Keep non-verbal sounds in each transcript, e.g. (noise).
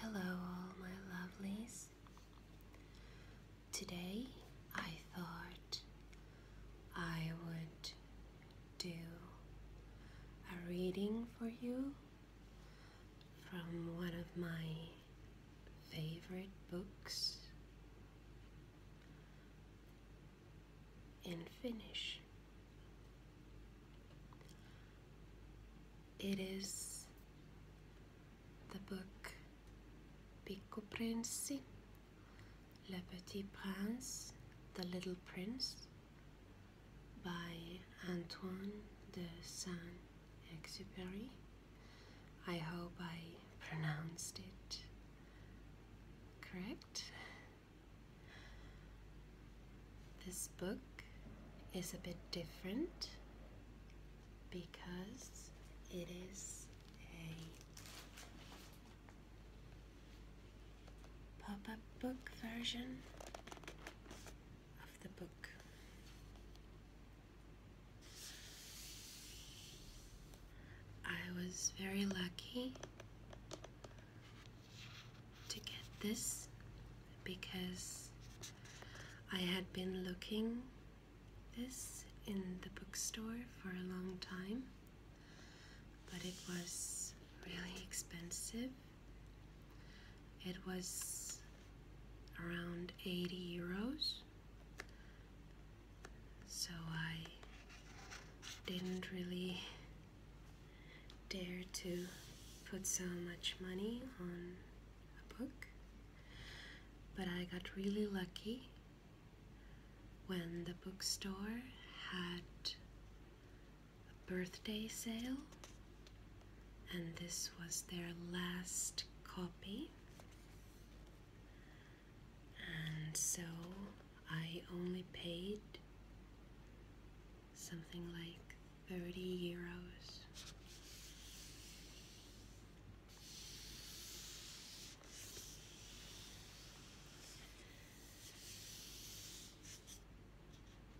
Hello, all my lovelies. Today I thought I would do a reading for you from one of my favorite books in Finnish. It is the book Pico Princi, Le Petit Prince, The Little Prince by Antoine de Saint Exupery. I hope I pronounced it correct. This book is a bit different because it is a pop up book version of the book. I was very lucky to get this because I had been looking this in the bookstore for a long time, but it was really expensive it was around 80 euros, so I didn't really dare to put so much money on a book, but I got really lucky when the bookstore had a birthday sale, and this was their last copy. And so I only paid something like 30 euros.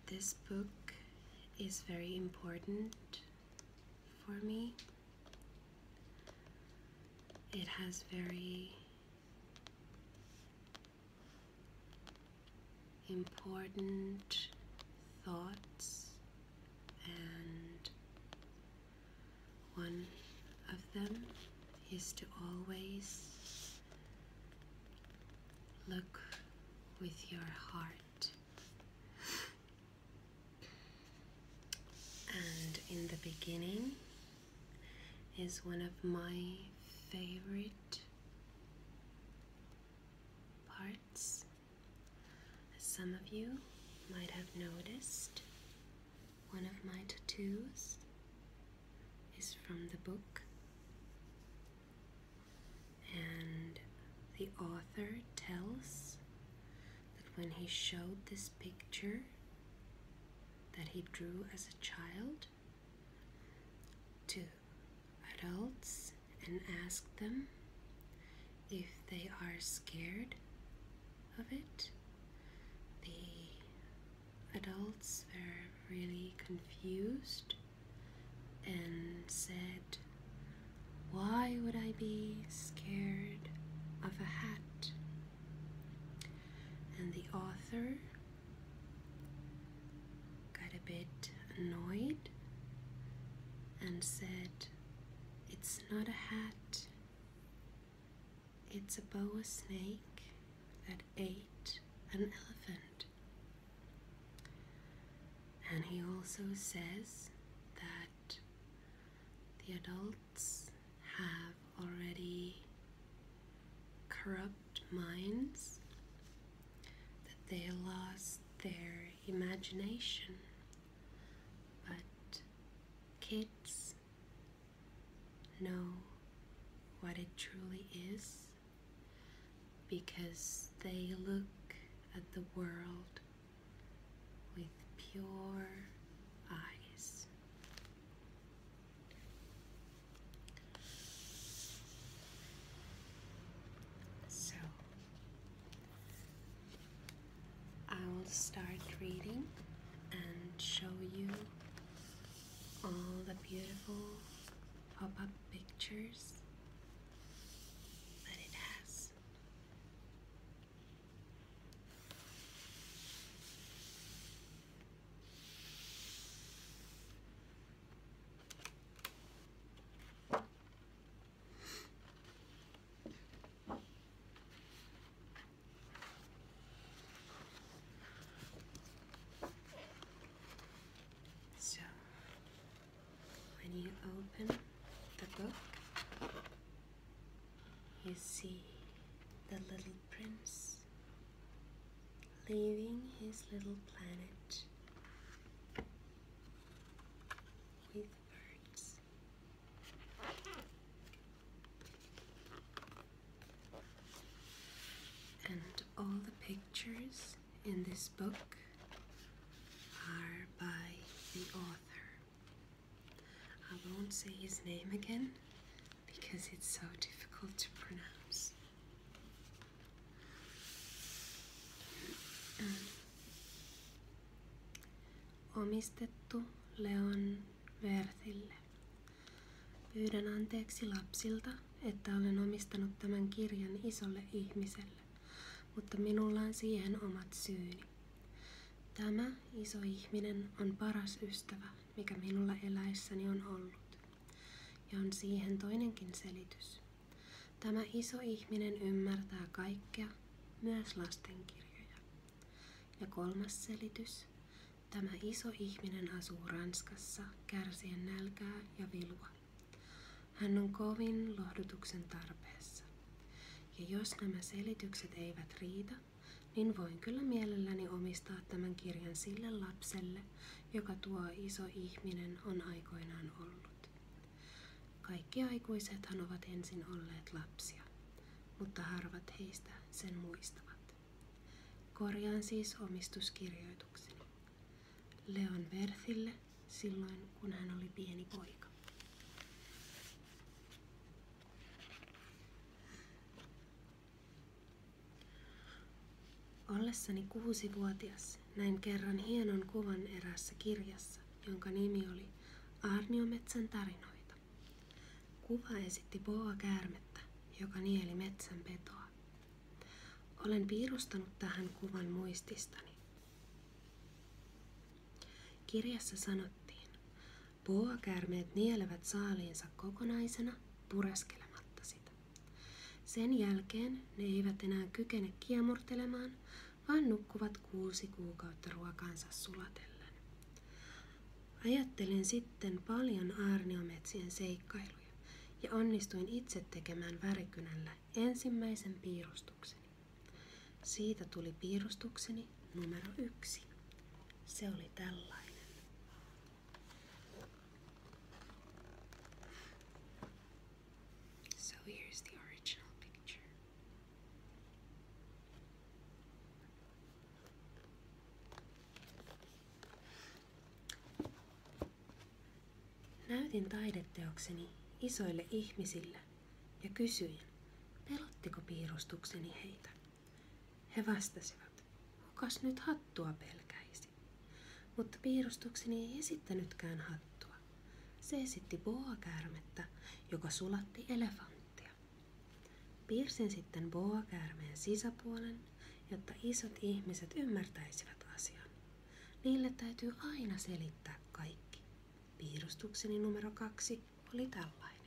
This book is very important for me. It has very important thoughts, and one of them is to always look with your heart. And in the beginning is one of my favorite parts. As some of you might have noticed, one of my tattoos is from the book and the author tells that when he showed this picture that he drew as a child to adults and asked them if they are scared of it, the adults were really confused and said, Why would I be scared of a hat? And the author got a bit annoyed and said, It's not a hat, it's a boa snake that ate an elephant. And he also says that the adults have already corrupt minds, that they lost their imagination, but kids know what it truly is because they look at the world with pure eyes. So I will start reading and show you all the beautiful pop up pictures that it has. So when you open the book, you see the little prince leaving his little planet with birds. And all the pictures in this book are by the author. I won't say his name again because it's so difficult to pronounce. Mm. Omistettu Leon Werthille. Pyydän anteeksi lapsilta, että olen omistanut tämän kirjan isolle ihmiselle mutta minulla on siihen omat syyni. Tämä iso ihminen on paras ystävä, mikä minulla eläessäni on ollut. Ja on siihen toinenkin selitys. Tämä iso ihminen ymmärtää kaikkea, myös lastenkirjoja. Ja kolmas selitys. Tämä iso ihminen asuu Ranskassa kärsien nälkää ja vilua. Hän on kovin lohdutuksen tarpeessa. Ja jos nämä selitykset eivät riitä, niin voin kyllä mielelläni omistaa tämän kirjan sille lapselle, joka tuo iso ihminen on aikoinaan ollut. Kaikki aikuisethan ovat ensin olleet lapsia, mutta harvat heistä sen muistavat. Korjaan siis omistuskirjoitukseni. Leon Werthille silloin, kun hän oli pieni poika. Ollessani kuusivuotias näin kerran hienon kuvan erässä kirjassa, jonka nimi oli Arniometsän tarinoita. Kuva esitti boa käärmettä, joka nieli metsän petoa. Olen piirustanut tähän kuvan muististani Kirjassa sanottiin, puoakäärmeet nielevät saaliinsa kokonaisena pureskelematta sitä. Sen jälkeen ne eivät enää kykene kiemurtelemaan, vaan nukkuvat kuusi kuukautta ruokansa sulatellen. Ajattelin sitten paljon aarniometsien seikkailuja ja onnistuin itse tekemään värikynällä ensimmäisen piirustuksen piirustukseni. Siitä tuli piirustukseni numero yksi. Se oli tällainen. Näytin taideteokseni isoille ihmisille ja kysyin, pelottiko piirustukseni heitä. He vastasivat, kukas nyt hattua pelkäisi. Mutta piirustukseni ei esittänytkään hattua. Se esitti boakäärmettä, joka sulatti elefanttia. Piirsin sitten boakäärmeen sisäpuolen, jotta isot ihmiset ymmärtäisivät asian. Niille täytyy aina selittää kaikki. Piirustukseni numero kaksi oli tällainen.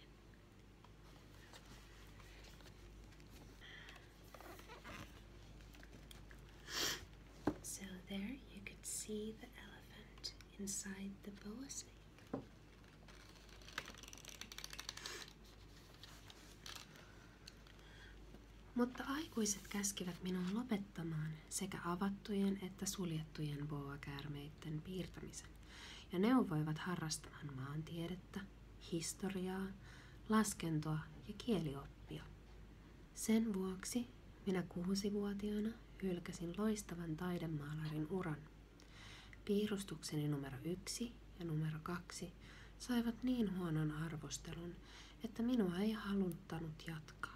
So there you could see the elephant inside the boa mutta aikuiset käskivät minun lopettamaan sekä avattujen että suljettujen boa piirtämisen ja neuvoivat harrastamaan maantiedettä, historiaa, laskentoa ja kielioppia. Sen vuoksi minä kuusivuotiaana hylkäsin loistavan taidemaalarin uran. Piirustukseni numero yksi ja numero kaksi saivat niin huonon arvostelun, että minua ei haluttanut jatkaa.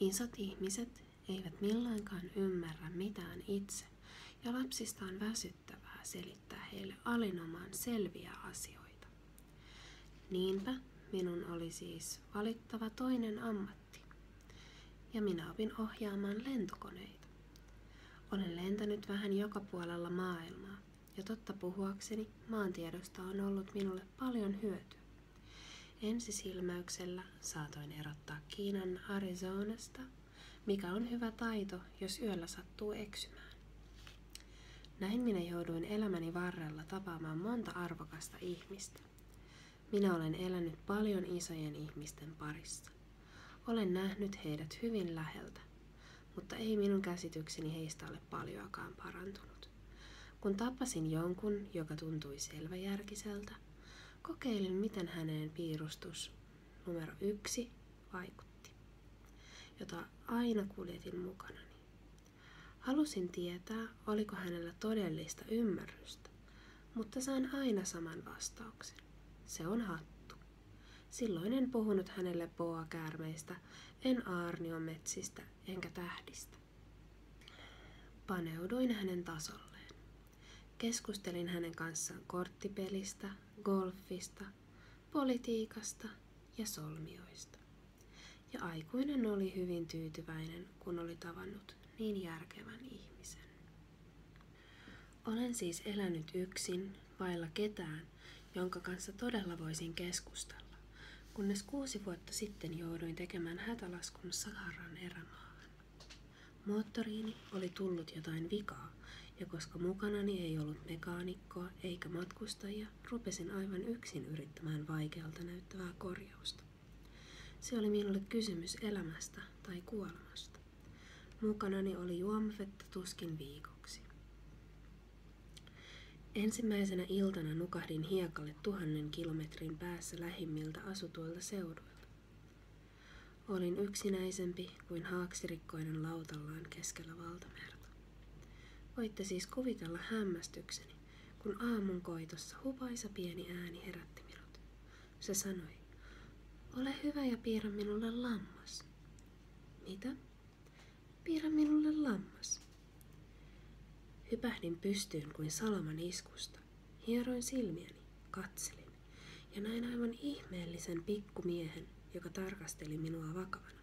Isot ihmiset eivät milloinkaan ymmärrä mitään itse, ja lapsista on väsyttävää selittää heille alinomaan selviä asioita. Niinpä minun oli siis valittava toinen ammatti, ja minä opin ohjaamaan lentokoneita. Olen lentänyt vähän joka puolella maailmaa, ja totta puhuakseni, maantiedosta on ollut minulle paljon hyötyä. Ensisilmäyksellä saatoin erottaa Kiinan Arizonasta, mikä on hyvä taito, jos yöllä sattuu eksymään. Näin minä jouduin elämäni varrella tapaamaan monta arvokasta ihmistä. Minä olen elänyt paljon isojen ihmisten parissa. Olen nähnyt heidät hyvin läheltä, mutta ei minun käsitykseni heistä ole paljoakaan parantunut. Kun tapasin jonkun, joka tuntui selväjärkiseltä, kokeilin, miten häneen piirustus numero yksi vaikutti, jota aina kuljetin mukanani. Halusin tietää, oliko hänellä todellista ymmärrystä, mutta sain aina saman vastauksen. Se on hattu. Silloin en puhunut hänelle boa-käärmeistä, en aarniometsistä enkä tähdistä. Paneuduin hänen tasolleen. Keskustelin hänen kanssaan korttipelistä, golfista, politiikasta ja solmioista. Ja aikuinen oli hyvin tyytyväinen, kun oli tavannut niin järkevän ihmisen. Olen siis elänyt yksin, vailla ketään, jonka kanssa todella voisin keskustella, kunnes kuusi vuotta sitten jouduin tekemään hätälaskun Saharan erämaahan. Moottoriini oli tullut jotain vikaa, ja koska mukanani ei ollut mekaanikkoa eikä matkustajia, rupesin aivan yksin yrittämään vaikealta näyttävää korjausta. Se oli minulle kysymys elämästä tai kuolemasta. Mukanani oli juomavettä tuskin viikoksi. Ensimmäisenä iltana nukahdin hiekalle tuhannen kilometrin päässä lähimmiltä asutuilla seuduilla. Olin yksinäisempi kuin haaksirikkoinen lautallaan keskellä valtamerta. Voitte siis kuvitella hämmästykseni, kun aamun koitossa hupaisa pieni ääni herätti minut. Se sanoi, ole hyvä ja piirrä minulle lammas. Mitä? Piirrä minulle lammas. Hypähdin pystyyn kuin salaman iskusta. Hieroin silmiäni, katselin ja näin aivan ihmeellisen pikkumiehen, joka tarkasteli minua vakavana.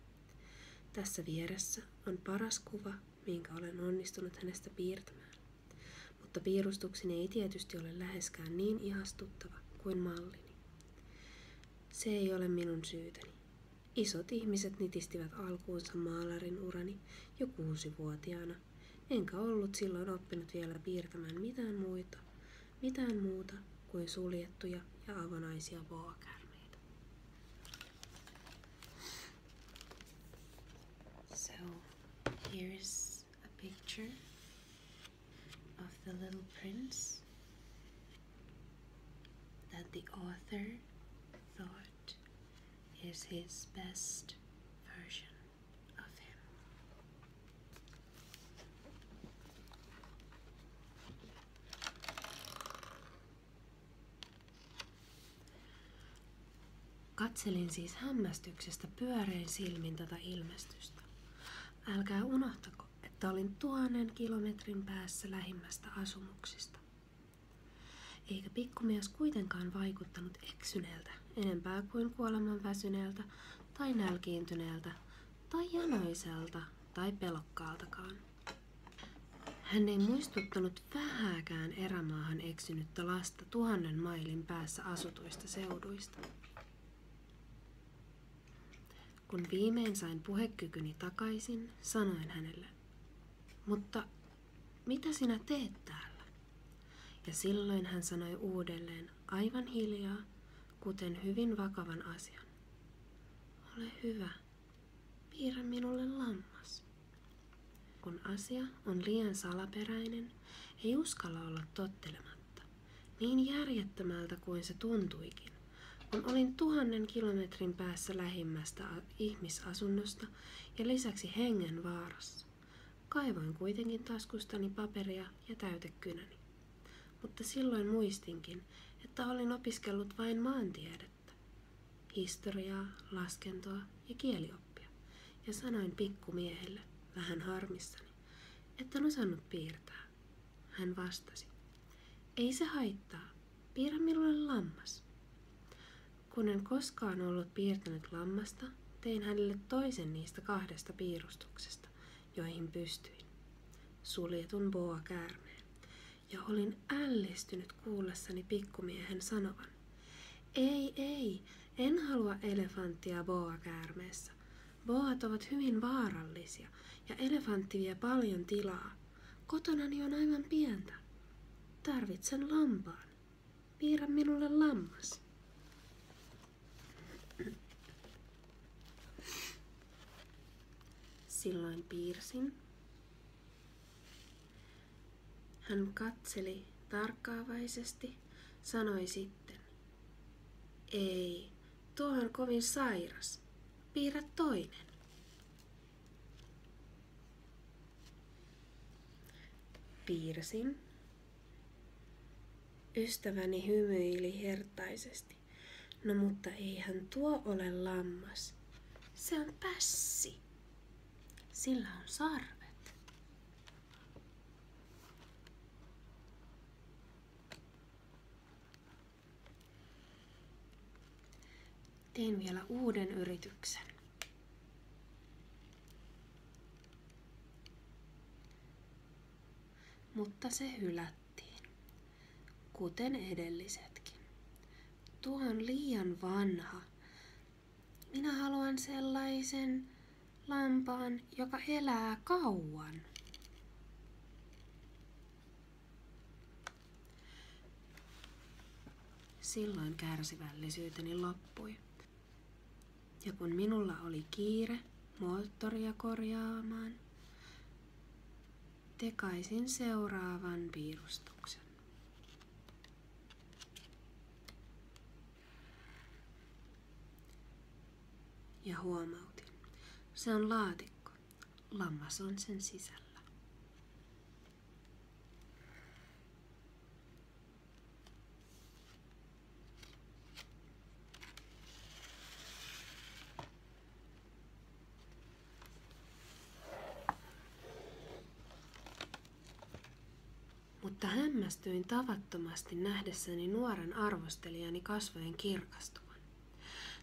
Tässä vieressä on paras kuva, minkä olen onnistunut hänestä piirtämään. Mutta piirustukseni ei tietysti ole läheskään niin ihastuttava kuin mallini. Se ei ole minun syytäni. Isot ihmiset nitistivät alkuunsa maalarin urani jo kuusivuotiaana, enkä ollut silloin oppinut vielä piirtämään mitään muita, mitään muuta kuin suljettuja ja avonaisia voakärmeitä. So, here's a picture of the little prince that the author thought left is his best version of him. Katselin siis hämmästyksestä pyörein silmin tätä ilmestystä. Älkää unohtako, että olin tuhannen kilometrin päässä lähimmästä asumuksesta. Eikä pikkumies kuitenkaan vaikuttanut eksyneeltä enempää kuin kuoleman väsyneeltä tai nälkiintyneeltä tai janoiselta tai pelokkaaltakaan. Hän ei muistuttanut vähääkään erämaahan eksynyttä lasta tuhannen mailin päässä asutuista seuduista. Kun viimein sain puhekykyni takaisin, sanoin hänelle, mutta mitä sinä teet täällä? Ja silloin hän sanoi uudelleen aivan hiljaa, kuten hyvin vakavan asian. Ole hyvä, piirrä minulle lammas. Kun asia on liian salaperäinen, ei uskalla olla tottelematta, niin järjettömältä kuin se tuntuikin kun olin tuhannen kilometrin päässä lähimmästä ihmisasunnosta ja lisäksi hengen vaarassa. Kaivoin kuitenkin taskustani paperia ja täytekynäni. Mutta silloin muistinkin, että olin opiskellut vain maantiedettä, historiaa, laskentoa ja kielioppia, ja sanoin pikkumiehelle, vähän harmissani, että en osannut piirtää. Hän vastasi, ei se haittaa, Piirrä minulle lammas. Kun en koskaan ollut piirtänyt lammasta, tein hänelle toisen niistä kahdesta piirustuksesta, joihin pystyin. Suljetun boa käärmeen. Ja olin ällistynyt kuullessani pikkumiehen sanovan. Ei, ei, en halua elefanttia boa käärmeessä. Boat ovat hyvin vaarallisia ja elefantti vie paljon tilaa. Kotonani on aivan pientä. Tarvitsen lampaan. Piirrä minulle lammas. Silloin piirsin. Hän katseli tarkkaavaisesti, sanoi sitten. Ei, tuo on kovin sairas. Piirrä toinen. Piirsin. Ystäväni hymyili hertaisesti. No mutta eihän tuo ole lammas. Se on pässi. Sillä on sarvet. Teen vielä uuden yrityksen. Mutta se hylättiin, kuten edellisetkin. Tuo on liian vanha. Minä haluan sellaisen lampaan, joka elää kauan. Silloin kärsivällisyyteni loppui. Ja kun minulla oli kiire moottoria korjaamaan, tekaisin seuraavan piirustuksen. Ja huomautin, se on laatikko. Lammas on sen sisällä. Mutta hämmästyin tavattomasti nähdessäni nuoren arvostelijani kasvojen kirkastuvan.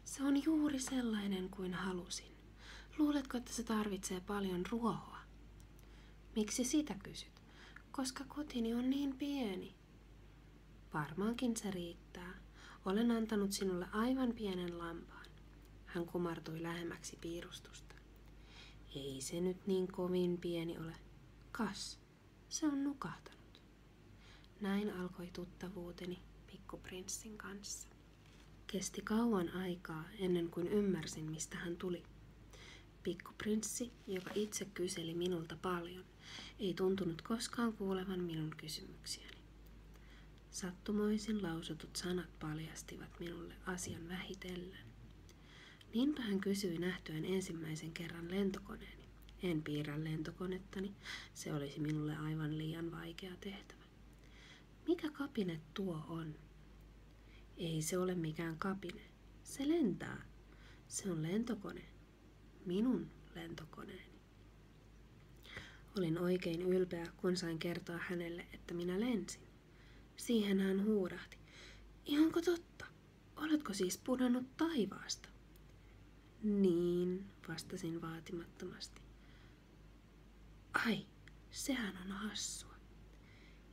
Se on juuri sellainen kuin halusin. Luuletko, että se tarvitsee paljon ruohoa? Miksi sitä kysyt? Koska kotini on niin pieni. Varmaankin se riittää. Olen antanut sinulle aivan pienen lampaan. Hän kumartui lähemmäksi piirustusta. Ei se nyt niin kovin pieni ole. Kas, se on nukahtanut. Näin alkoi tuttavuuteni pikkuprinssin kanssa. Kesti kauan aikaa ennen kuin ymmärsin, mistä hän tuli. Pikku prinssi joka itse kyseli minulta paljon, ei tuntunut koskaan kuulevan minun kysymyksiäni. Sattumoisin lausutut sanat paljastivat minulle asian vähitellen. Niinpä hän kysyi nähtyään ensimmäisen kerran lentokoneeni. En piirrä lentokonettani, se olisi minulle aivan liian vaikea tehtävä. Mikä kapine tuo on? Ei se ole mikään kapine. Se lentää. Se on lentokone. Minun lentokoneeni. Olin oikein ylpeä, kun sain kertoa hänelle, että minä lensin. Siihen hän huudahti. Ihanko totta? Oletko siis pudonnut taivaasta? Niin, vastasin vaatimattomasti. Ai, sehän on hassua.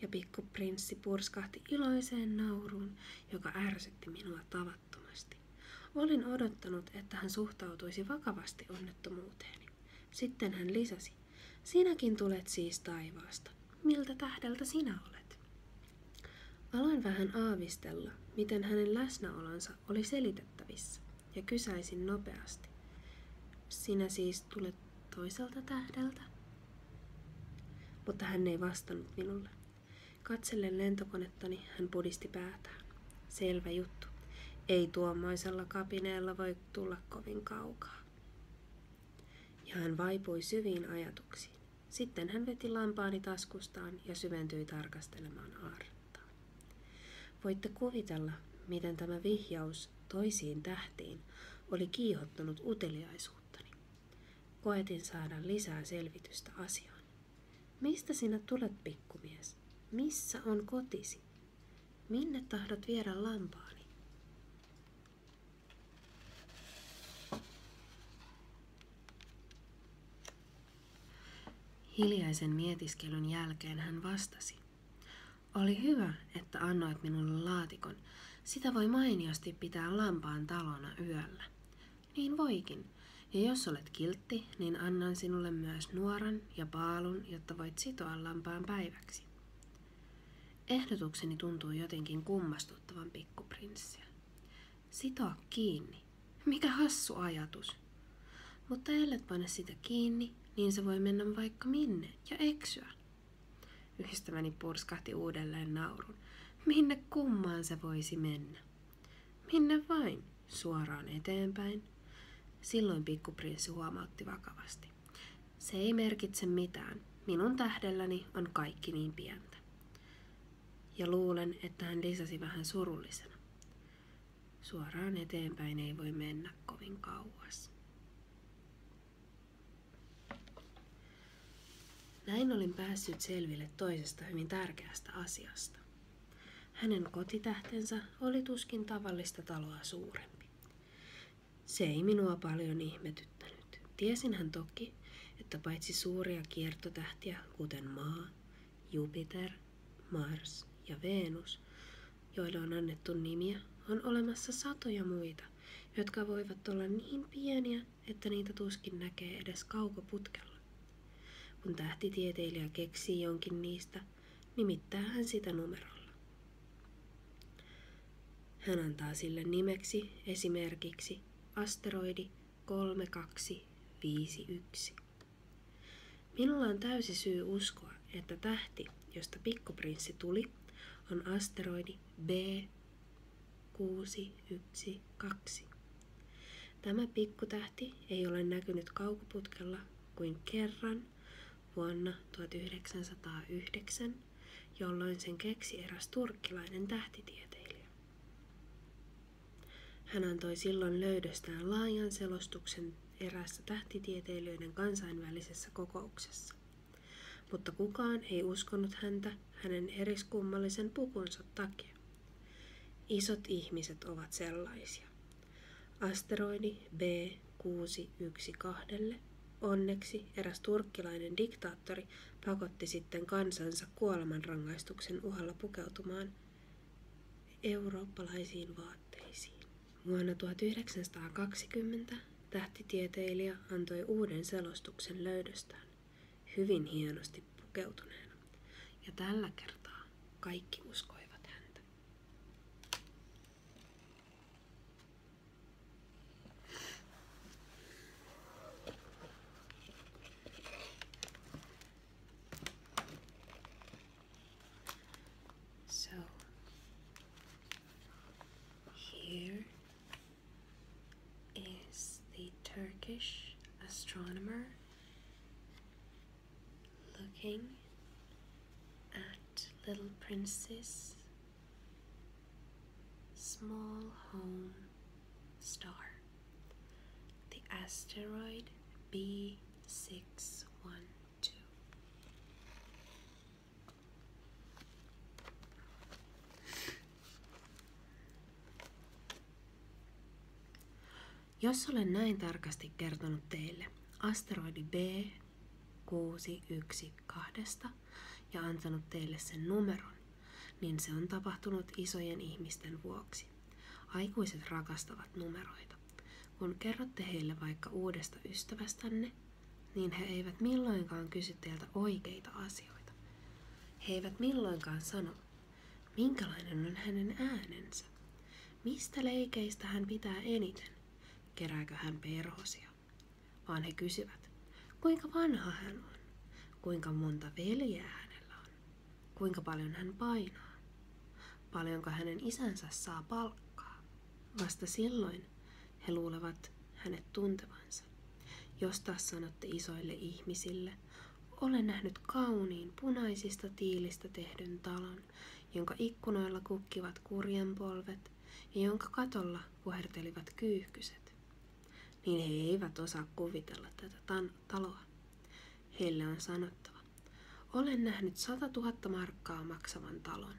Ja pikkuprinssi purskahti iloiseen nauruun, joka ärsytti minua tavattomasti. Olin odottanut, että hän suhtautuisi vakavasti onnettomuuteeni. Sitten hän lisäsi, sinäkin tulet siis taivaasta. Miltä tähdeltä sinä olet? Aloin vähän aavistella, miten hänen läsnäolonsa oli selitettävissä ja kysäisin nopeasti. Sinä siis tulet toiselta tähdeltä? Mutta hän ei vastannut minulle. Katsellen lentokonettani hän pudisti päätään. Selvä juttu. Ei tuommoisella kapineella voi tulla kovin kaukaa. Ja hän vaipui syviin ajatuksiin. Sitten hän veti lampaani taskustaan ja syventyi tarkastelemaan aarrettaan. Voitte kuvitella, miten tämä vihjaus toisiin tähtiin oli kiihottanut uteliaisuuttani. Koetin saada lisää selvitystä asiaan. Mistä sinä tulet, pikkumies? Missä on kotisi? Minne tahdot viedä lampaani? Hiljaisen mietiskelyn jälkeen hän vastasi. Oli hyvä, että annoit minulle laatikon. Sitä voi mainiosti pitää lampaan talona yöllä. Niin voikin. Ja jos olet kiltti, niin annan sinulle myös nuoran ja paalun, jotta voit sitoa lampaan päiväksi. Ehdotukseni tuntuu jotenkin kummastuttavan pikkuprinssiä. Sitoa kiinni. Mikä hassu ajatus mutta ellet pane sitä kiinni, niin se voi mennä vaikka minne ja eksyä. Ystäväni purskahti uudelleen naurun. Minne kummaan se voisi mennä? Minne vain, suoraan eteenpäin. Silloin pikkuprinssi huomautti vakavasti. Se ei merkitse mitään. Minun tähdelläni on kaikki niin pientä. Ja luulen, että hän lisäsi vähän surullisena. Suoraan eteenpäin ei voi mennä kovin kauas. Näin olin päässyt selville toisesta hyvin tärkeästä asiasta. Hänen kotitähtensä oli tuskin tavallista taloa suurempi. Se ei minua paljon ihmetyttänyt. Tiesin hän toki, että paitsi suuria kiertotähtiä, kuten Maa, Jupiter, Mars ja Venus, joille on annettu nimiä, on olemassa satoja muita, jotka voivat olla niin pieniä, että niitä tuskin näkee edes kaukoputkella. Kun tähtitieteilijä keksii jonkin niistä, nimittää hän sitä numerolla. Hän antaa sille nimeksi esimerkiksi asteroidi 3251. Minulla on täysi syy uskoa, että tähti, josta pikkuprinssi tuli, on asteroidi B612. Tämä pikkutähti ei ole näkynyt kaukoputkella kuin kerran vuonna 1909, jolloin sen keksi eräs turkkilainen tähtitieteilijä. Hän antoi silloin löydöstään laajan selostuksen eräässä tähtitieteilijöiden kansainvälisessä kokouksessa. Mutta kukaan ei uskonut häntä hänen eriskummallisen pukunsa takia. Isot ihmiset ovat sellaisia. Asteroidi B612 Onneksi eräs turkkilainen diktaattori pakotti sitten kansansa kuolemanrangaistuksen uhalla pukeutumaan eurooppalaisiin vaatteisiin. Vuonna 1920 tähtitieteilijä antoi uuden selostuksen löydöstään, hyvin hienosti pukeutuneena. Ja tällä kertaa kaikki uskoivat häntä. So here is the Turkish astronomer looking at Little princess, small home star, the asteroid B612. Jos olen näin tarkasti kertonut teille asteroidi B612 ja antanut teille sen numeron, niin se on tapahtunut isojen ihmisten vuoksi. Aikuiset rakastavat numeroita. Kun kerrotte heille vaikka uudesta ystävästänne niin he eivät milloinkaan kysy teiltä oikeita asioita. He eivät milloinkaan sano, minkälainen on hänen äänensä, mistä leikeistä hän pitää eniten, kerääkö hän perhosia. Vaan he kysyvät, kuinka vanha hän on, kuinka monta veljeä hänellä on, kuinka paljon hän painaa, paljonko hänen isänsä saa palkkaa. Vasta silloin he luulevat hänet tuntevansa. Jos taas sanotte isoille ihmisille, olen nähnyt kauniin punaisista tiilistä tehdyn talon, jonka ikkunoilla kukkivat kurjenpolvet ja jonka katolla puhertelivat kyyhkyset. Niin he eivät osaa kuvitella tätä taloa. Heille on sanottava, olen nähnyt sata tuhatta markkaa maksavan talon,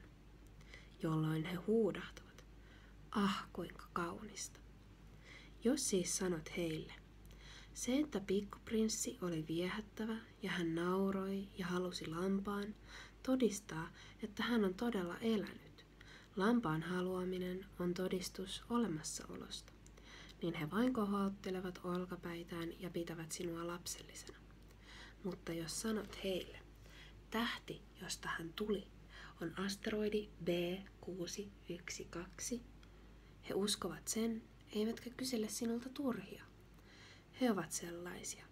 jolloin he huudahtavat, ah kuinka kaunista. Jos siis sanot heille, se, että pikkuprinssi oli viehättävä ja hän nauroi ja halusi lampaan, todistaa, että hän on todella elänyt. Lampaan haluaminen on todistus olemassaolosta. Niin he vain kohottelevat olkapäitään ja pitävät sinua lapsellisena. Mutta jos sanot heille, tähti, josta hän tuli, on asteroidi B612, he uskovat sen, eivätkä kysele sinulta turhia. He ovat sellaisia.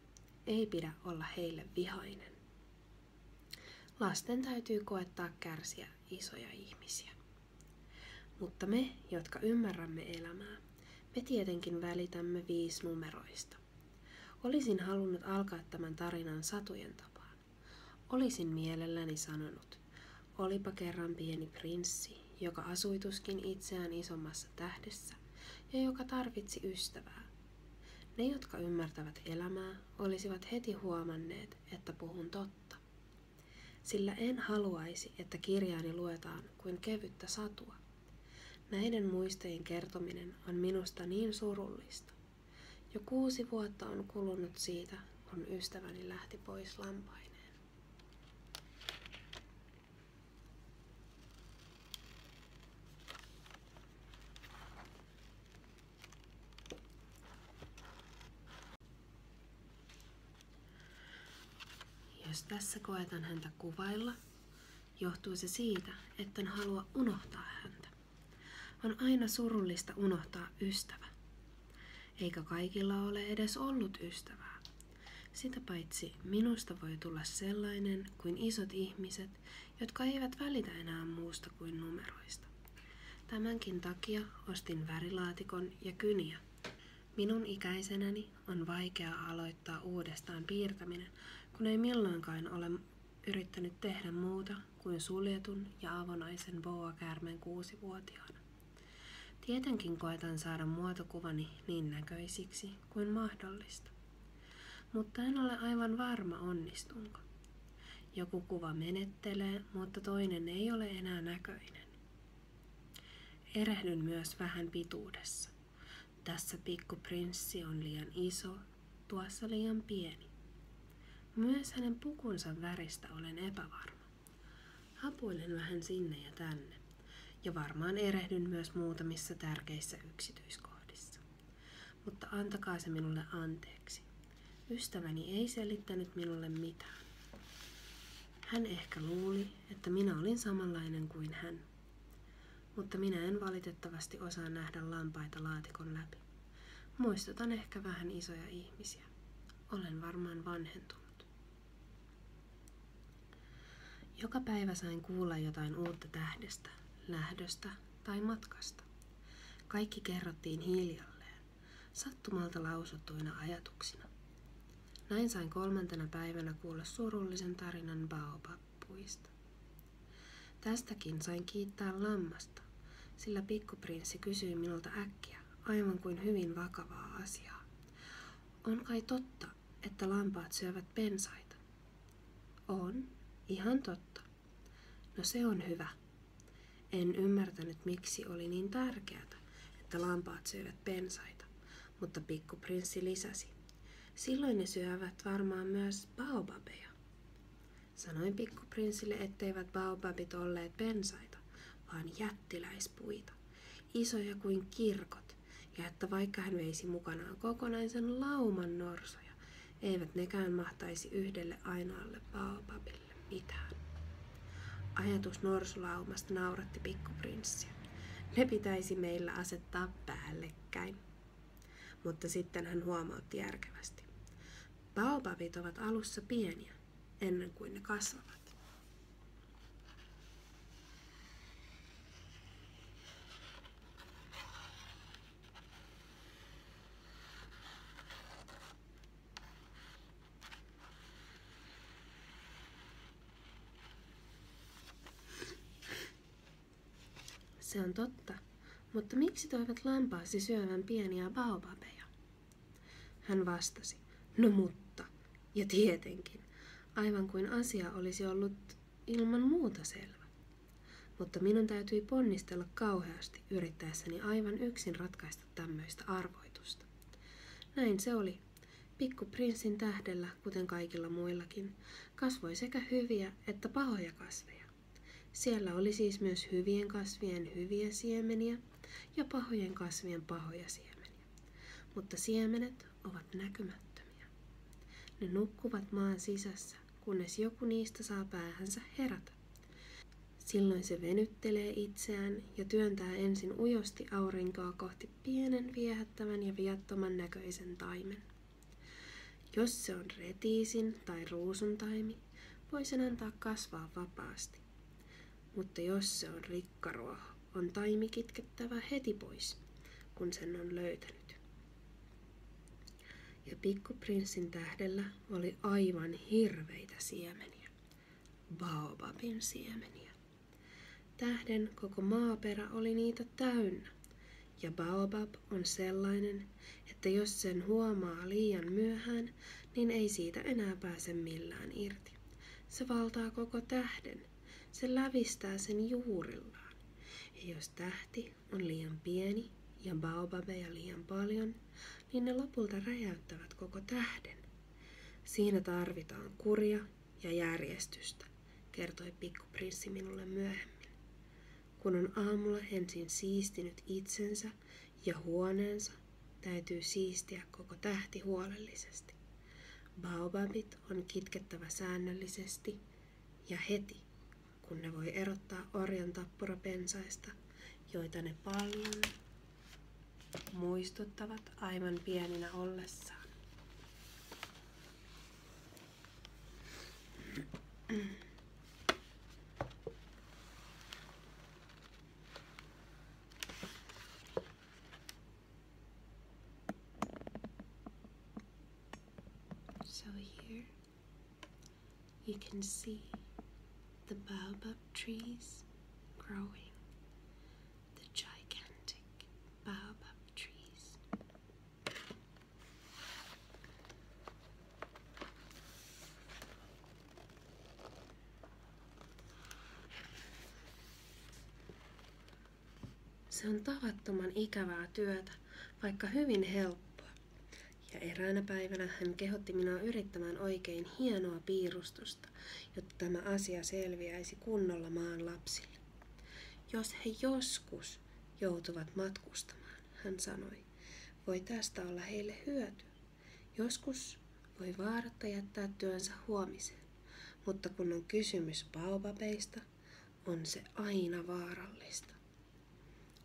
Ei pidä olla heille vihainen. Lasten täytyy koettaa kärsiä isoja ihmisiä. Mutta me, jotka ymmärrämme elämää, me tietenkin välitämme viisi numeroista. Olisin halunnut alkaa tämän tarinan satujen tapaan. Olisin mielelläni sanonut, olipa kerran pieni prinssi, joka asuituskin itseään isommassa tähdessä ja joka tarvitsi ystävää. Ne, jotka ymmärtävät elämää, olisivat heti huomanneet, että puhun totta. Sillä en haluaisi, että kirjaani luetaan kuin kevyttä satua. Näiden muistojen kertominen on minusta niin surullista. Jo kuusi vuotta on kulunut siitä, kun ystäväni lähti pois lampaineen. Jos tässä koetan häntä kuvailla, Johtuu se siitä, että etten halua unohtaa häntä. On aina surullista unohtaa ystävä. Eikä kaikilla ole edes ollut ystävää. Sitä paitsi minusta voi tulla sellainen kuin isot ihmiset, jotka eivät välitä enää muusta kuin numeroista. Tämänkin takia ostin värilaatikon ja kyniä. Minun ikäisenäni on vaikea aloittaa uudestaan piirtäminen, kun ei milloinkaan ole yrittänyt tehdä muuta kuin suljetun ja avonaisen boa-käärmeen kuusivuotiaana. Tietenkin koetan saada muotokuvani niin näköisiksi kuin mahdollista. Mutta en ole aivan varma onnistunko. Joku kuva menettelee, mutta toinen ei ole enää näköinen. Erehdyn myös vähän pituudessa. Tässä pikkuprinssi on liian iso, tuossa liian pieni. Myös hänen pukunsa väristä olen epävarma. Hapuilen vähän sinne ja tänne, ja varmaan erehdyn myös muutamissa tärkeissä yksityiskohdissa. Mutta antakaa se minulle anteeksi. Ystäväni ei selittänyt minulle mitään. Hän ehkä luuli, että minä olin samanlainen kuin hän. Mutta minä en valitettavasti osaa nähdä lampaita laatikon läpi. Muistutan ehkä vähän isoja ihmisiä. Olen varmaan vanhentunut. Joka päivä sain kuulla jotain uutta tähdestä, lähdöstä tai matkasta. Kaikki kerrottiin hiljalleen, sattumalta lausuttuina ajatuksina. Näin sain kolmantena päivänä kuulla surullisen tarinan Baobab happuista. Tästäkin sain kiittää lammasta, sillä pikkuprinssi kysyi minulta äkkiä, aivan kuin hyvin vakavaa asiaa. On kai totta, että lampaat syövät pensaita? On, ihan totta. No se on hyvä. En ymmärtänyt, miksi oli niin tärkeää, että lampaat syövät pensaita, mutta pikkuprinssi lisäsi. Silloin ne syövät varmaan myös baobabeja. Sanoin pikkuprinsille, etteivät baobabit olleet pensaita, vaan jättiläispuita, isoja kuin kirkot, ja että vaikka hän veisi mukanaan kokonaisen lauman norsoja, eivät nekään mahtaisi yhdelle ainoalle baobabille mitään. Ajatus norsulaumasta nauratti pikkuprinssiä. Ne pitäisi meillä asettaa päällekkäin. Mutta sitten hän huomautti järkevästi. Baobabit ovat alussa pieniä, ennen kuin ne kasvavat. Se on totta, mutta miksi toivat lampaasi syövän pieniä baobabeja? Hän vastasi, no mutta, ja tietenkin, aivan kuin asia olisi ollut ilman muuta selvä. Mutta minun täytyi ponnistella kauheasti yrittäessäni aivan yksin ratkaista tämmöistä arvoitusta. Näin se oli. Pikku prinssin tähdellä, kuten kaikilla muillakin, kasvoi sekä hyviä että pahoja samoja kasveja. Siellä oli siis myös hyvien kasvien hyviä siemeniä ja pahojen kasvien pahoja siemeniä. Mutta siemenet ovat näkymättömiä. Ne nukkuvat maan sisässä, kunnes joku niistä saa päähänsä herätä. Silloin se venyttelee itseään ja työntää ensin ujosti aurinkoa kohti pienen viehättävän ja viattoman näköisen taimen. Jos se on retiisin tai ruusuntaimi, voi sen antaa kasvaa vapaasti. Mutta jos se on rikkaruoho, on taimi kitkettävä heti pois, kun sen on löytänyt. Ja pikkuprinssin tähdellä oli aivan hirveitä siemeniä, baobabin siemeniä. Tähden koko maaperä oli niitä täynnä, ja baobab on sellainen, että jos sen huomaa liian myöhään, niin ei siitä enää pääse millään irti. Se valtaa koko tähden. Se lävistää sen juurillaan. Ja jos tähti on liian pieni ja baobabeja liian paljon, niin ne lopulta räjäyttävät koko tähden. Siinä tarvitaan kuria ja järjestystä, kertoi pikkuprinssi minulle myöhemmin. Kun on aamulla ensin siistinyt itsensä ja huoneensa, täytyy siistiä koko tähti huolellisesti. Baobabit on kitkettävä säännöllisesti ja heti, kun ne voi erottaa orjan tappurapensaista, joita ne paljon muistuttavat aivan pieninä ollessaan. So here you can see the baobab trees growing, the gigantic baobab trees. Se on tavattoman ikävää työtä, vaikka hyvin helppoa. Ja eräänä päivänä hän kehotti minua yrittämään oikein hienoa piirustusta, jotta tämä asia selviäisi kunnolla maan lapsille. Jos he joskus joutuvat matkustamaan, hän sanoi. Voi tästä olla heille hyöty. Joskus voi vaaratta jättää työnsä huomisen, mutta kun on kysymys baobabeista, on se aina vaarallista.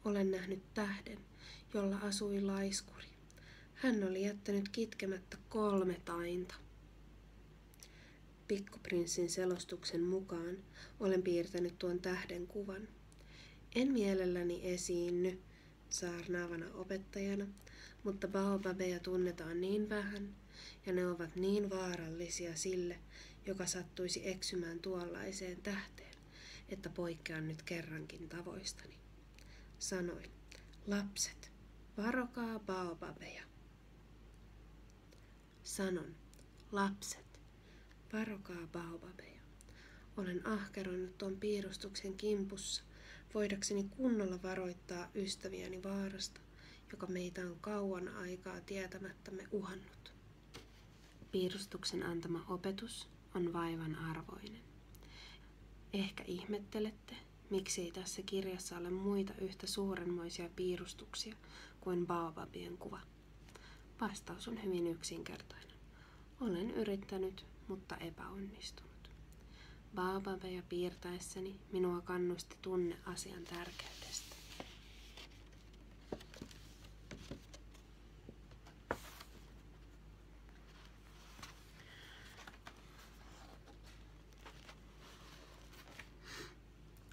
Olen nähnyt tähden, jolla asui laiskuri. Hän oli jättänyt kitkemättä kolme tainta. Pikkuprinssin selostuksen mukaan olen piirtänyt tuon tähden kuvan. En mielelläni esiinny saarnaavana opettajana, mutta baobabeja tunnetaan niin vähän ja ne ovat niin vaarallisia sille, joka sattuisi eksymään tuollaiseen tähteen, että poikkean nyt kerrankin tavoistani. Sanoin, lapset, varokaa baobabeja. Sanon, lapset, varokaa baobabeja. Olen ahkeroinut tuon piirustuksen kimpussa, voidakseni kunnolla varoittaa ystäviäni vaarasta, joka meitä on kauan aikaa tietämättämme uhannut. Piirustuksen antama opetus on vaivan arvoinen. Ehkä ihmettelette, miksei tässä kirjassa ole muita yhtä suurenmoisia piirustuksia kuin baobabien kuva. Vastaus on hyvin yksinkertainen. Olen yrittänyt, mutta epäonnistunut. Baabaveja piirtäessäni minua kannusti tunne asian tärkeydestä.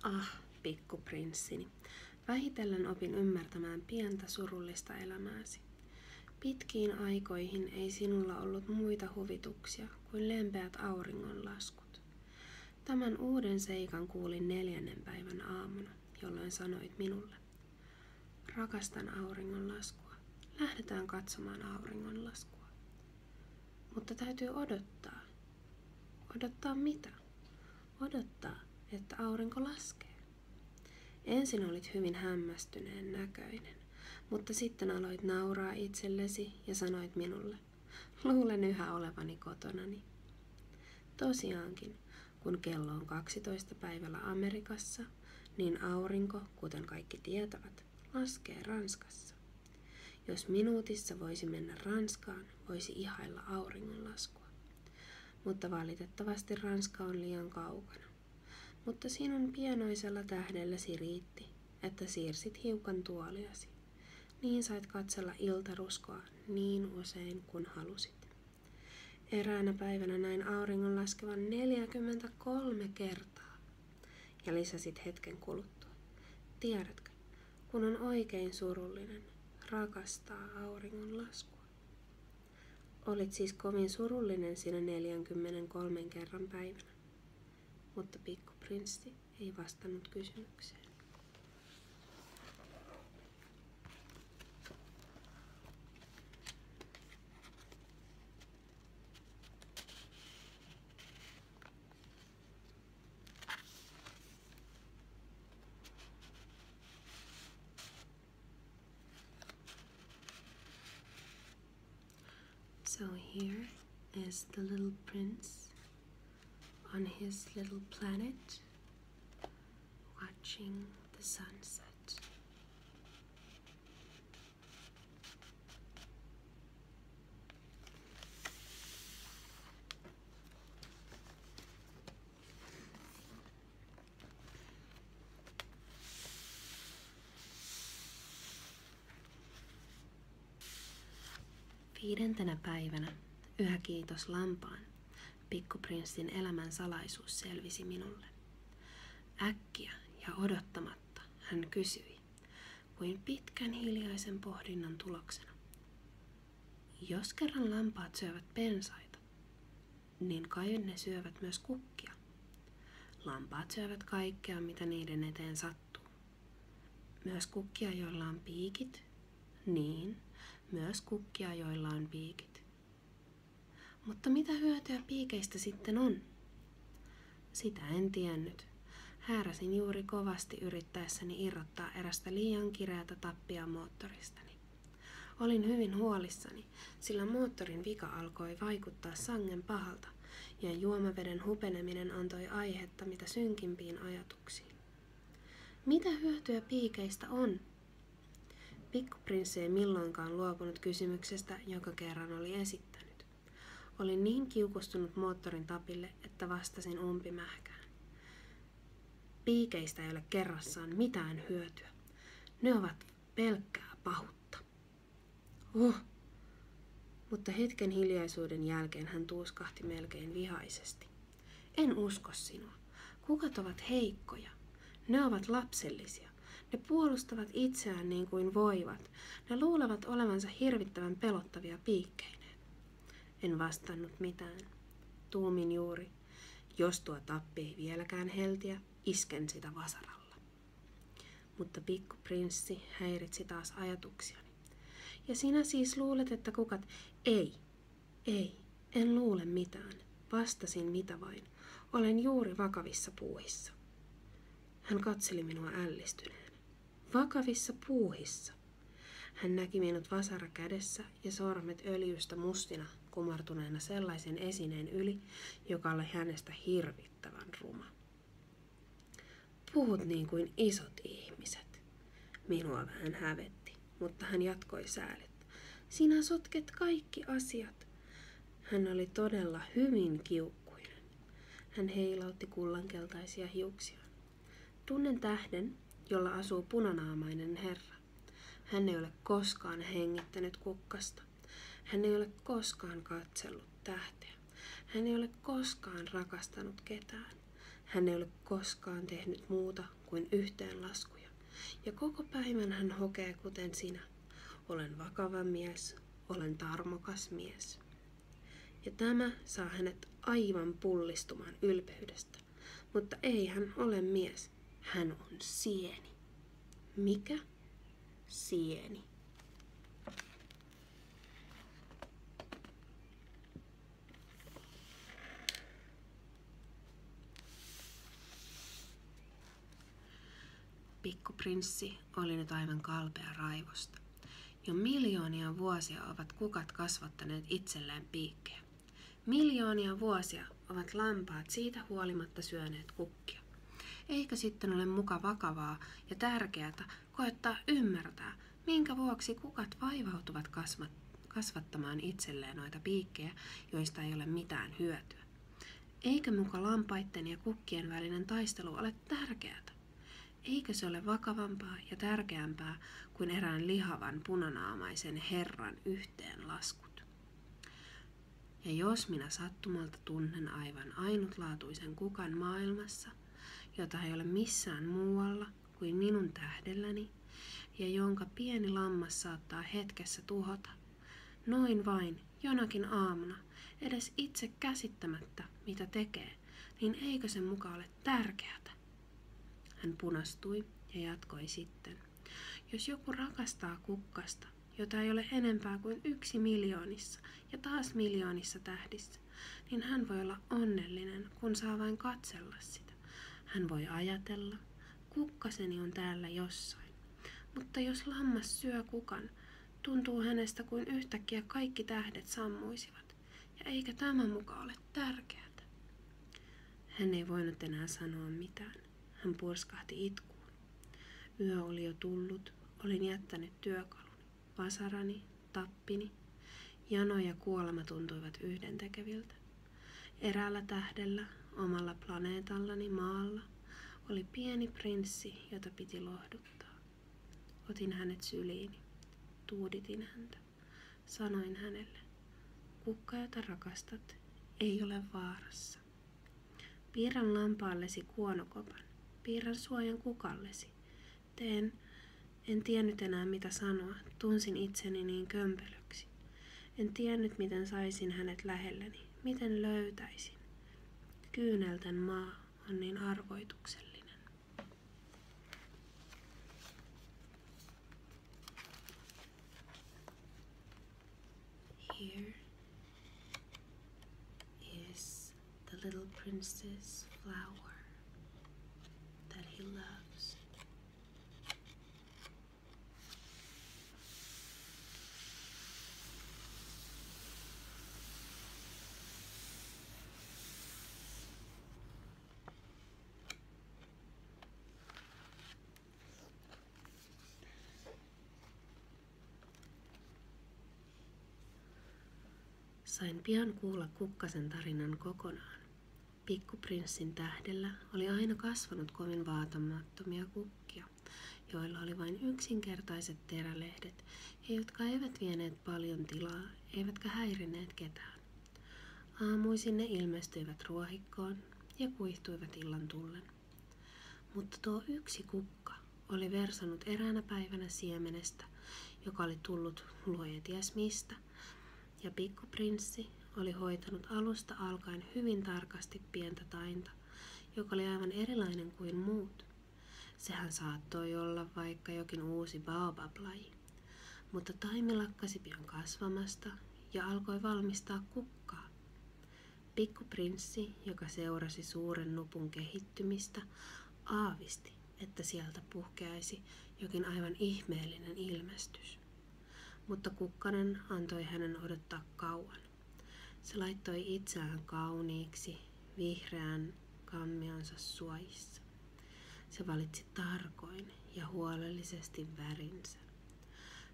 Ah, pikkuprinssini, Vähitellen opin ymmärtämään pientä surullista elämääsi. Pitkiin aikoihin ei sinulla ollut muita huvituksia kuin lempeät auringonlaskut. Tämän uuden seikan kuulin neljännen päivän aamuna, jolloin sanoit minulle. Rakastan auringonlaskua. Lähdetään katsomaan auringonlaskua. Mutta täytyy odottaa. Odottaa mitä? odottaa, että aurinko laskee. Ensin olit hyvin hämmästyneen näköinen, mutta sitten aloit nauraa itsellesi ja sanoit minulle, luulen yhä olevani kotonani. Tosiaankin, kun kello on 12 päivällä Amerikassa, niin aurinko, kuten kaikki tietävät, laskee Ranskassa. Jos minuutissa voisi mennä Ranskaan, voisi ihailla auringonlaskua. Mutta valitettavasti Ranska on liian kaukana. Mutta sinun pienoisella tähdelläsi riitti, että siirsit hiukan tuoliasi. Niin sait katsella iltaruskoa niin usein kuin halusit. Eräänä päivänä näin auringon laskevan 43 kertaa. Ja lisäsit hetken kuluttua. Tiedätkö, kun on oikein surullinen, rakastaa laskua. Olit siis kovin surullinen sinä 43 kerran päivänä, mutta pikkuprinssi ei vastannut kysymykseen. So here is the little prince on his little planet watching the sunset. Viidentenä päivänä, yhä kiitos lampaan, pikkuprinssin elämän salaisuus selvisi minulle. Äkkiä ja odottamatta hän kysyi, kuin pitkän hiljaisen pohdinnan tuloksena. Jos kerran lampaat syövät pensaita, niin kai ne syövät myös kukkia. Lampaat syövät kaikkea, mitä niiden eteen sattuu. Myös kukkia, joilla on piikit, niin, myös kukkia, joilla on piikit. Mutta mitä hyötyä piikeistä sitten on? Sitä en tiennyt. Hääräsin juuri kovasti yrittäessäni irrottaa erästä liian kireätä tappia moottoristani. Olin hyvin huolissani, sillä moottorin vika alkoi vaikuttaa sangen pahalta ja juomaveden hupeneminen antoi aihetta mitä synkimpiin ajatuksiin. Mitä hyötyä piikeistä on? Pikkuprinssi ei milloinkaan luopunut kysymyksestä, joka kerran oli esittänyt. Olin niin kiukustunut moottorin tapille, että vastasin umpimähkään. Piikeistä ei ole kerrassaan mitään hyötyä. Ne ovat pelkkää pahuutta. Oh! Mutta hetken hiljaisuuden jälkeen hän tuuskahti melkein vihaisesti. En usko sinua. Kukat ovat heikkoja. Ne ovat lapsellisia. Ne puolustavat itseään niin kuin voivat. Ne luulevat olevansa hirvittävän pelottavia piikkeineen. En vastannut mitään. Tuumin juuri, jos tuo tappi ei vieläkään heltiä, isken sitä vasaralla. Mutta pikkuprinssi häiritsi taas ajatuksiani. Ja sinä siis luulet, että kukat... Ei, ei, en luule mitään. Vastasin mitä vain. Olen juuri vakavissa puuhissa. Hän katseli minua ällistyneenä. Vakavissa puuhissa. Hän näki minut vasara kädessä ja sormet öljystä mustina kumartuneena sellaisen esineen yli, joka oli hänestä hirvittävän ruma. Puhut niin kuin isot ihmiset. Minua vähän hävetti, mutta hän jatkoi säälit. Sinä sotket kaikki asiat. Hän oli todella hyvin kiukkuinen. Hän heilautti kullankeltaisia hiuksia. Tunnen tähden, jolla asuu punanaamainen herra. Hän ei ole koskaan hengittänyt kukkasta. Hän ei ole koskaan katsellut tähteä. Hän ei ole koskaan rakastanut ketään. Hän ei ole koskaan tehnyt muuta kuin yhteenlaskuja. Ja koko päivän hän hokee kuten sinä. Olen vakava mies, olen tarmokas mies. Ja tämä saa hänet aivan pullistumaan ylpeydestä naista. Mutta ei hän ole mies. Hän on sieni. Mikä? Sieni. Pikku prinssi oli nyt aivan kalpea raivosta. Jo miljoonia vuosia ovat kukat kasvattaneet itselleen piikkejä. Miljoonia vuosia ovat lampaat siitä huolimatta syöneet kukkia. Eikö sitten ole muka vakavaa ja tärkeää koettaa ymmärtää, minkä vuoksi kukat vaivautuvat kasvattamaan itselleen noita piikkejä, joista ei ole mitään hyötyä? Eikö muka lampaitten ja kukkien välinen taistelu ole tärkeää? Eikö se ole vakavampaa ja tärkeämpää kuin erään lihavan punanaamaisen herran yhteenlaskut. Ja jos minä sattumalta tunnen aivan ainutlaatuisen kukan maailmassa, jota ei ole missään muualla kuin minun tähdelläni, ja jonka pieni lammas saattaa hetkessä tuhota, noin vain jonakin aamuna, edes itse käsittämättä, mitä tekee, niin eikö se muka ole tärkeätä? Hän punastui ja jatkoi sitten. Jos joku rakastaa kukkasta, jota ei ole enempää kuin yksi miljoonissa ja taas miljoonissa tähdissä, niin hän voi olla onnellinen, kun saa vain katsella sitä. Hän voi ajatella, kukkaseni on täällä jossain. Mutta jos lammas syö kukan, tuntuu hänestä kuin yhtäkkiä kaikki tähdet sammuisivat. Ja eikä tämä muka ole tärkeää. Hän ei voinut enää sanoa mitään. Hän purskahti itkuun. Yö oli jo tullut. Olin jättänyt työkaluni, vasarani, tappini. Jano ja kuolema tuntuivat yhdentekeviltä. Eräällä tähdellä, omalla planeetallani maalla, oli pieni prinssi, jota piti lohduttaa. Otin hänet syliini. Tuuditin häntä. Sanoin hänelle, kukka, jota rakastat, ei ole vaarassa. Piirrän lampaallesi kuonokopan, piirrän suojan kukallesi. Teen, en tiennyt enää mitä sanoa, tunsin itseni niin kömpelöksi. En tiennyt miten saisin hänet lähelleni, miten löytäisin. Kyynelten maa on niin arvoituksellinen. Here is the little princess flower that he loves. Sain pian kuulla kukkasen tarinan kokonaan. Pikkuprinssin tähdellä oli aina kasvanut kovin vaatamattomia kukkia, joilla oli vain yksinkertaiset terälehdet ja jotka eivät vieneet paljon tilaa eivätkä häirineet ketään. Aamuisin ne ilmestyivät ruohikkoon ja kuihtuivat illan tullen. Mutta tuo yksi kukka oli versannut eräänä päivänä siemenestä, joka oli tullut luoja ties mistä, ja pikkuprinssi oli hoitanut alusta alkaen hyvin tarkasti pientä tainta, joka oli aivan erilainen kuin muut. Sehän saattoi olla vaikka jokin uusi baobab-laji, mutta taimi lakkasi pian kasvamasta ja alkoi valmistaa kukkaa. Pikkuprinssi, joka seurasi suuren nupun kehittymistä, aavisti, että sieltä puhkeaisi jokin aivan ihmeellinen ilmestys. Mutta kukkanen antoi hänen odottaa kauan. Se laittoi itseään kauniiksi vihreän kammionsa suojissa. Se valitsi tarkoin ja huolellisesti värinsä.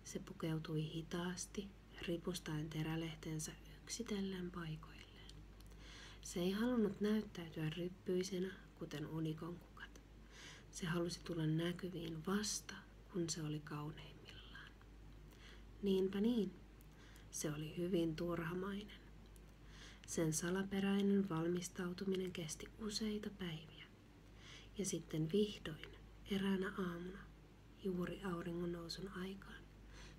Se pukeutui hitaasti, ripustaen terälehtensä yksitellen paikoilleen. Se ei halunnut näyttäytyä ryppyisenä, kuten unikon kukat. Se halusi tulla näkyviin vasta, kun se oli kauneimmillaan. Niinpä niin, se oli hyvin turhamainen. Sen salaperäinen valmistautuminen kesti useita päiviä. Ja sitten vihdoin, eräänä aamuna, juuri auringon nousun aikaan,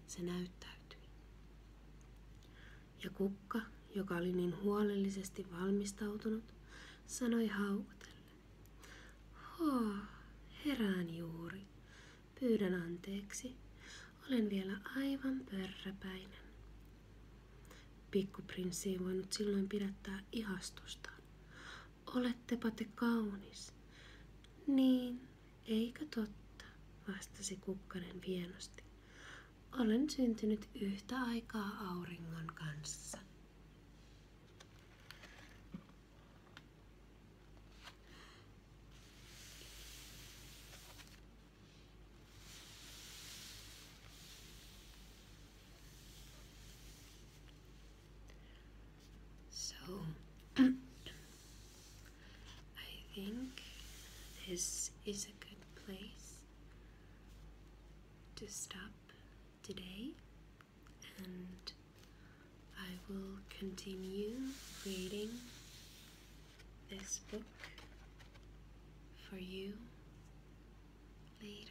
se näyttäytyi. Ja kukka, joka oli niin huolellisesti valmistautunut, sanoi haukotellen. Hoo, herään juuri. Pyydän anteeksi. Olen vielä aivan pörräpäinen. Pikkuprinssi ei voinut silloin pidättää ihastusta. Olettepa te kaunis. Niin, eikö totta, vastasi kukkanen hienosti. Olen syntynyt yhtä aikaa auringon kanssa. So (clears throat) I think this is a good place to stop today and I will continue reading this book for you later.